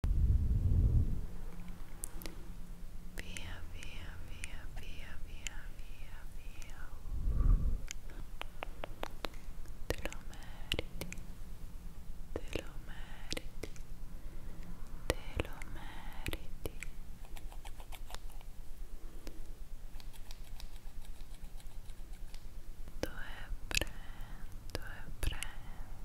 Via, via, via, via, via, via, via. Te lo meriti, te lo meriti, te lo meriti. Due brand, due brand,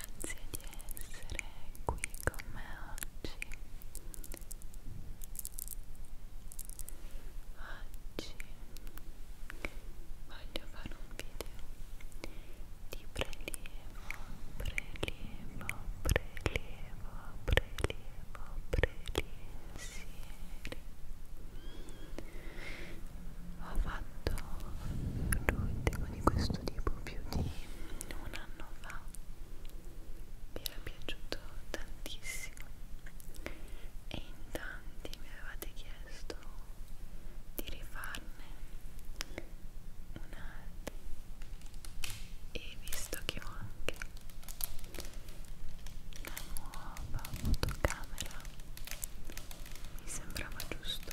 grazie di essere qui con me oggi oggi voglio fare un video di prelievo prelievo prelievo prelievo prelievo ho fatto l'ultimo di questo tipo più di un anno fa vi era piaciuto tantissimo e in tanti mi avevate chiesto di rifarne un altro e visto che ho anche la nuova fotocamera mi sembrava giusto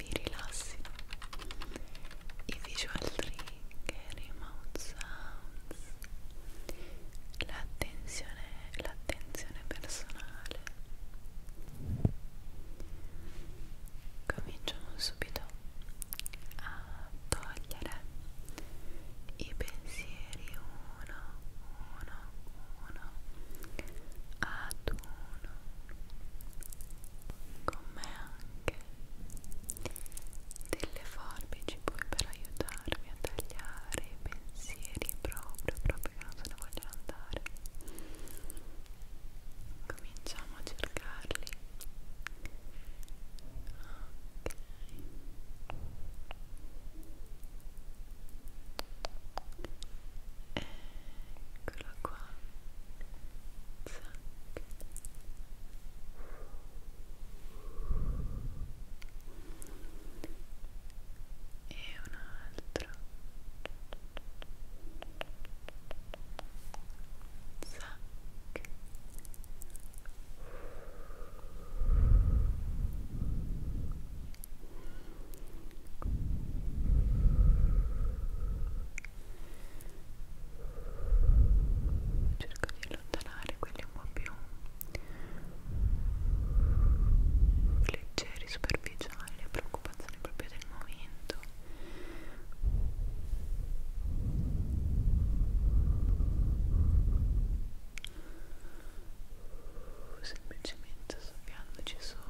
vi rilassino i visual trigger, i mouth sounds l'attenzione personale cominciamo subito a togliere i pensieri uno uno uno ad uno con me anche delle forbici poi per aiutarmi a tagliare i pensieri proprio proprio che non se ne vogliono andare cominciamo a cercarli ok eccolo qua e un altro zac Zac, cerco di allontanare quelli un po' più leggeri, superficiali, preoccupazioni proprio del momento semplicemente soffiandoci sopra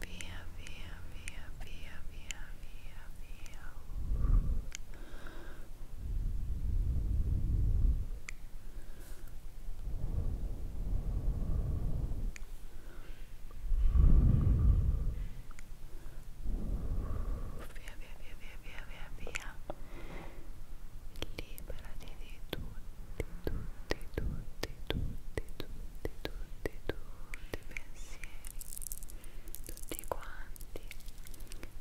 Via, via, via, via, via, via, via. Via, via, via, via, via, via, via. liberati di tutti, tutti, tutti, tutti, tutti, tutti, tutti i pensieri, tutti quanti,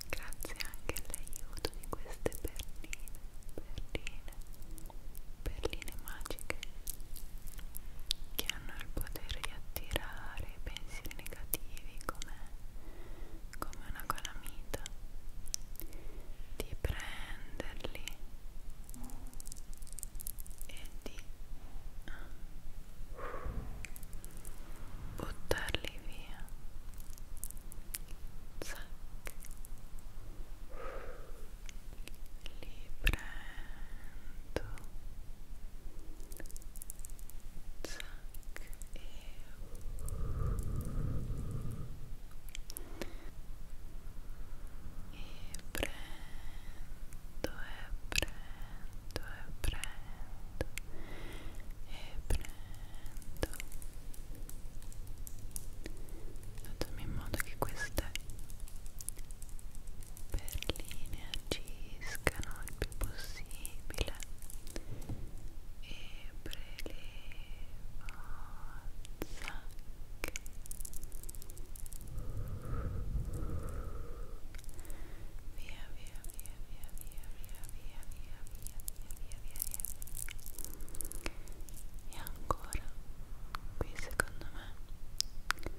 grazie anche all'aiuto di queste perline, perline, perline magiche che hanno il potere di attirare pensieri negativi come come una calamita di prenderli e di buttarli via Zac. li prendo Zac. e e prendo e prendo e prendo e prendo fatemi in modo che queste perline agiscano il più possibile e prelevo via, e ancora qui secondo me qui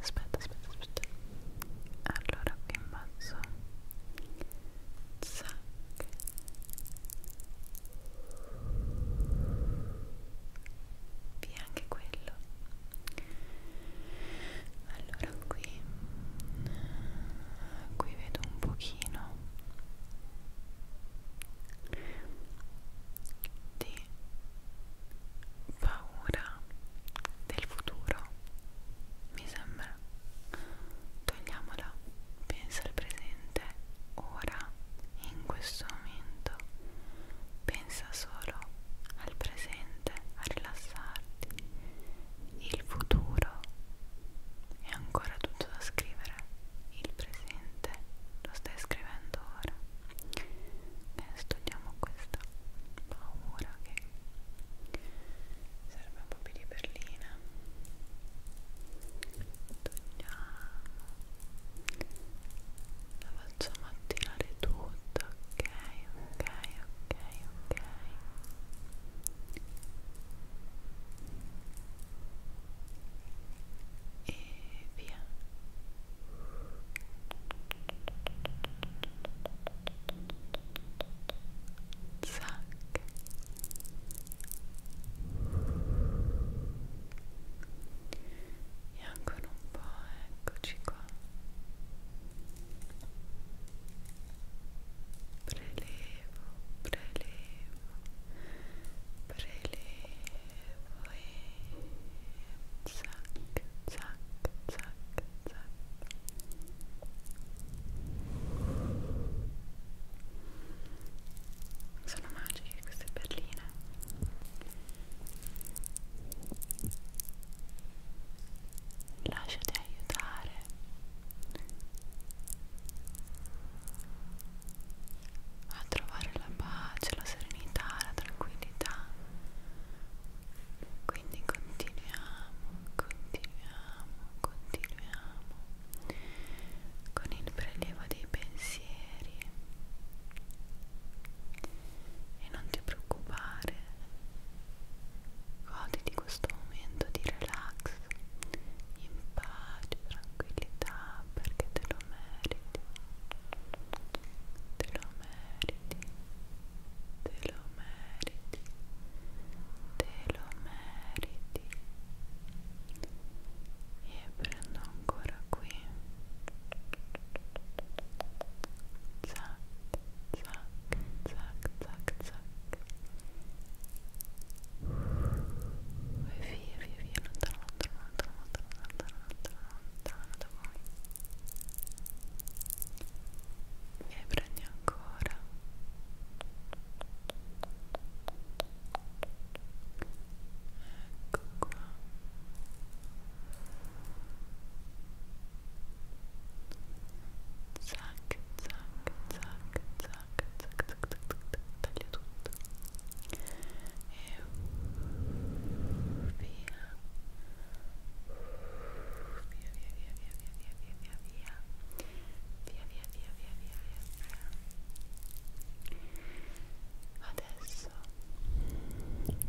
aspetta aspetta aspetta allora qui in basso Zac. via anche quello allora qui qui vedo un pochino di paura del futuro mi sembra togliamola pensa al presente ora in questo momento pensa solo al presente a rilassarti il futuro è ancora tutto da scrivere il presente lo stai scrivendo ora e studiamo questa paura che serve un po' più di berlina togliamo la facciamo attirare tutta ok ok ok ok e via zac e ancora un po' eccoci qua prelevo prelevo prelevo e zac zac zac zac sono magiche queste perline lasciati aiutare a trovare la pace, la serenità, la tranquillità quindi continuiamo, continuiamo, continuiamo con il prelievo dei pensieri e non ti preoccupare goditi questo momento di relax in pace, tranquillità perché te lo meriti te lo meriti te lo meriti te lo meriti denti e prendo ancora qui zac zac zac zac zac e via via via lontano lontano lontano lontano lontano lontano lontano da voi e prendi ancora ecco qua zac zac zac zac zac zac zac taglia tutto e via via via via via via via via via via via via via via via adesso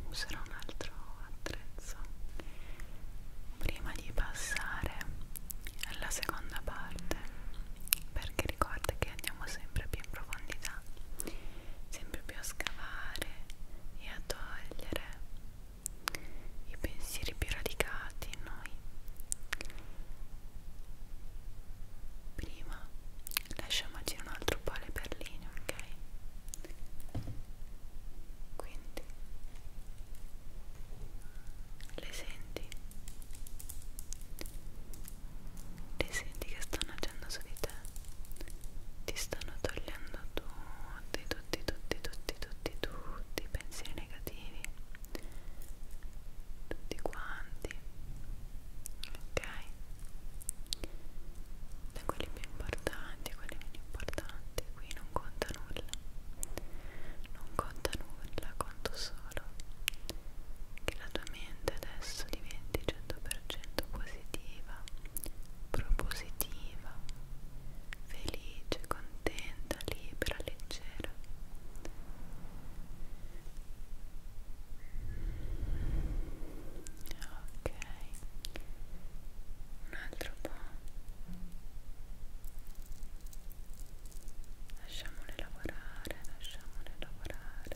userò un altro attrezzo prima di passare alla seconda parte perché ricorda che andiamo sempre più in profondità sempre più a scavare e a togliere i pensieri più radicati in noi noi. Prima lasciamoci un altro po' le perline, ok? Quindi le senti? Le senti che stanno agendo su di te? Ti stanno togliendo tutti, tutti, tutti, tutti, tutti, tutti i pensieri negativi tutti quanti ok da quelli più importanti quelli meno importanti qui non conta nulla non conta nulla conto solo che la tua mente adesso diventi 100% positiva propositiva felice, contenta, libera, leggera. Ok, un altro po'. Lasciamole lavorare, lasciamole lavorare.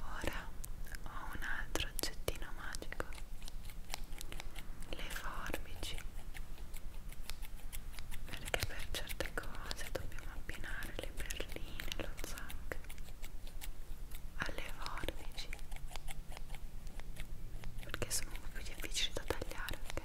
Ora ho un altro oggettino magico, le forbici, perché per certe cose dobbiamo abbinare le perline, lo zac alle forbici, perché sono un po' più difficili da tagliare, ok?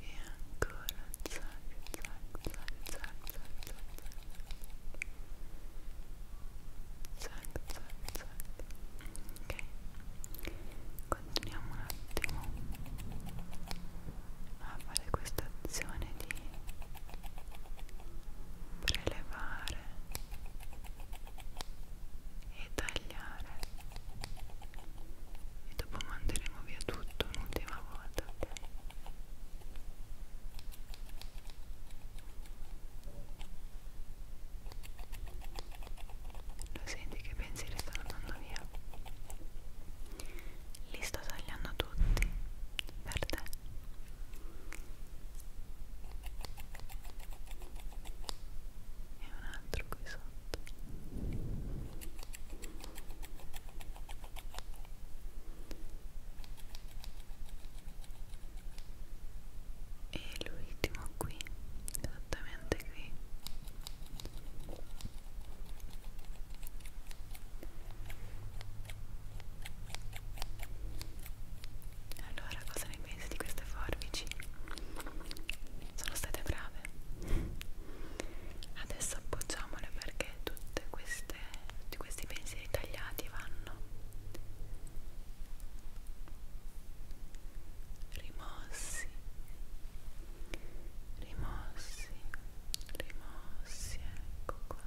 e ancora zac zac zac zac zac zac zac zac ok continuiamo un attimo a fare questa azione di prelevare e tagliare e dopo manderemo via tutto un'ultima volta ok lo senti che pensieri stanno andando via li sto tagliando tutti per te e un altro qui sotto e l'ultimo qui esattamente qui allora, cosa ne pensi di queste forbici? Sono state brave. Adesso appoggiamole perché tutte queste, tutti questi pensieri tagliati vanno rimossi, rimossi, rimossi, ecco qua.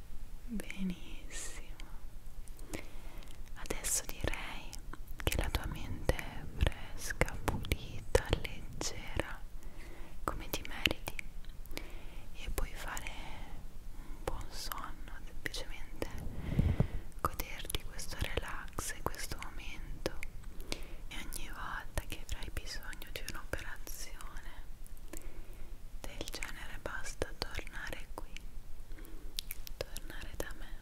Benissimo. Adesso direi che la tua mente è fresca, pulita, leggera, come ti meriti. E puoi fare un buon sonno, semplicemente goderti questo relax e questo momento. E ogni volta che avrai bisogno di un'operazione del genere basta tornare qui, tornare da me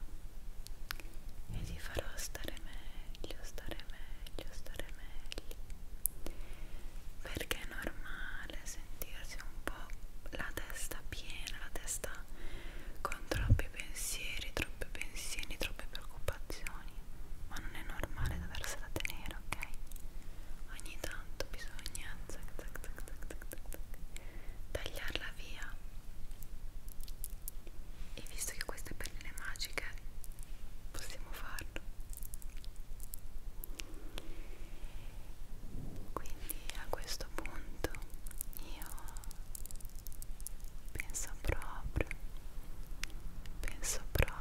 e ti farò stare meglio, stare meglio, stare meglio perché è normale sentirsi un po' la testa piena, la testa con troppi pensieri, troppi pensieri, troppe preoccupazioni ma non è normale doversela tenere davvero, ok? Ogni tanto bisogna zac, zac, zac, zac, zac, zac, zac, tagliarla via. E visto che queste pennelli magiche possiamo farlo. Quindi a questo punto io penso proprio, penso proprio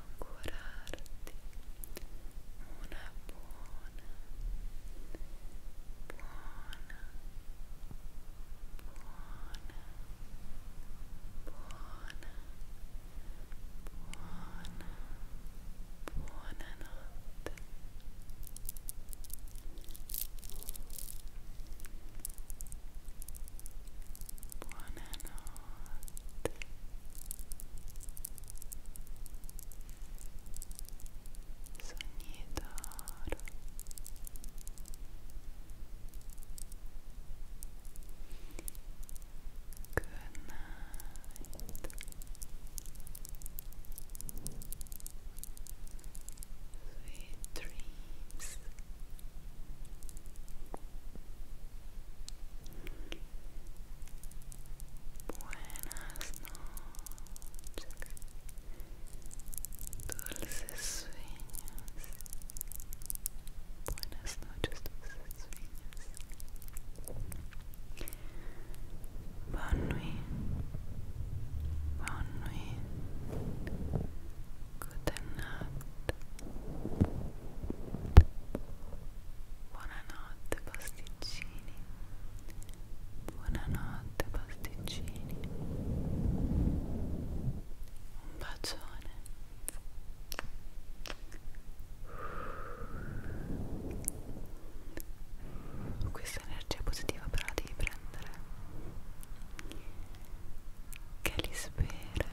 augurarti una buona, buona, buona, buona, buona, buona notte. Buonanotte. Sognidoro Good night Sweet dreams Buenas noches, dulces sueños. Buenas noches, dulces sueños. Bonne nuit, bonne nuit. Good night. Buona Buonanotte pasticcini. Buonanotte pasticcini. Un bacione. Questa energia positiva però la devi prendere. Che li spera.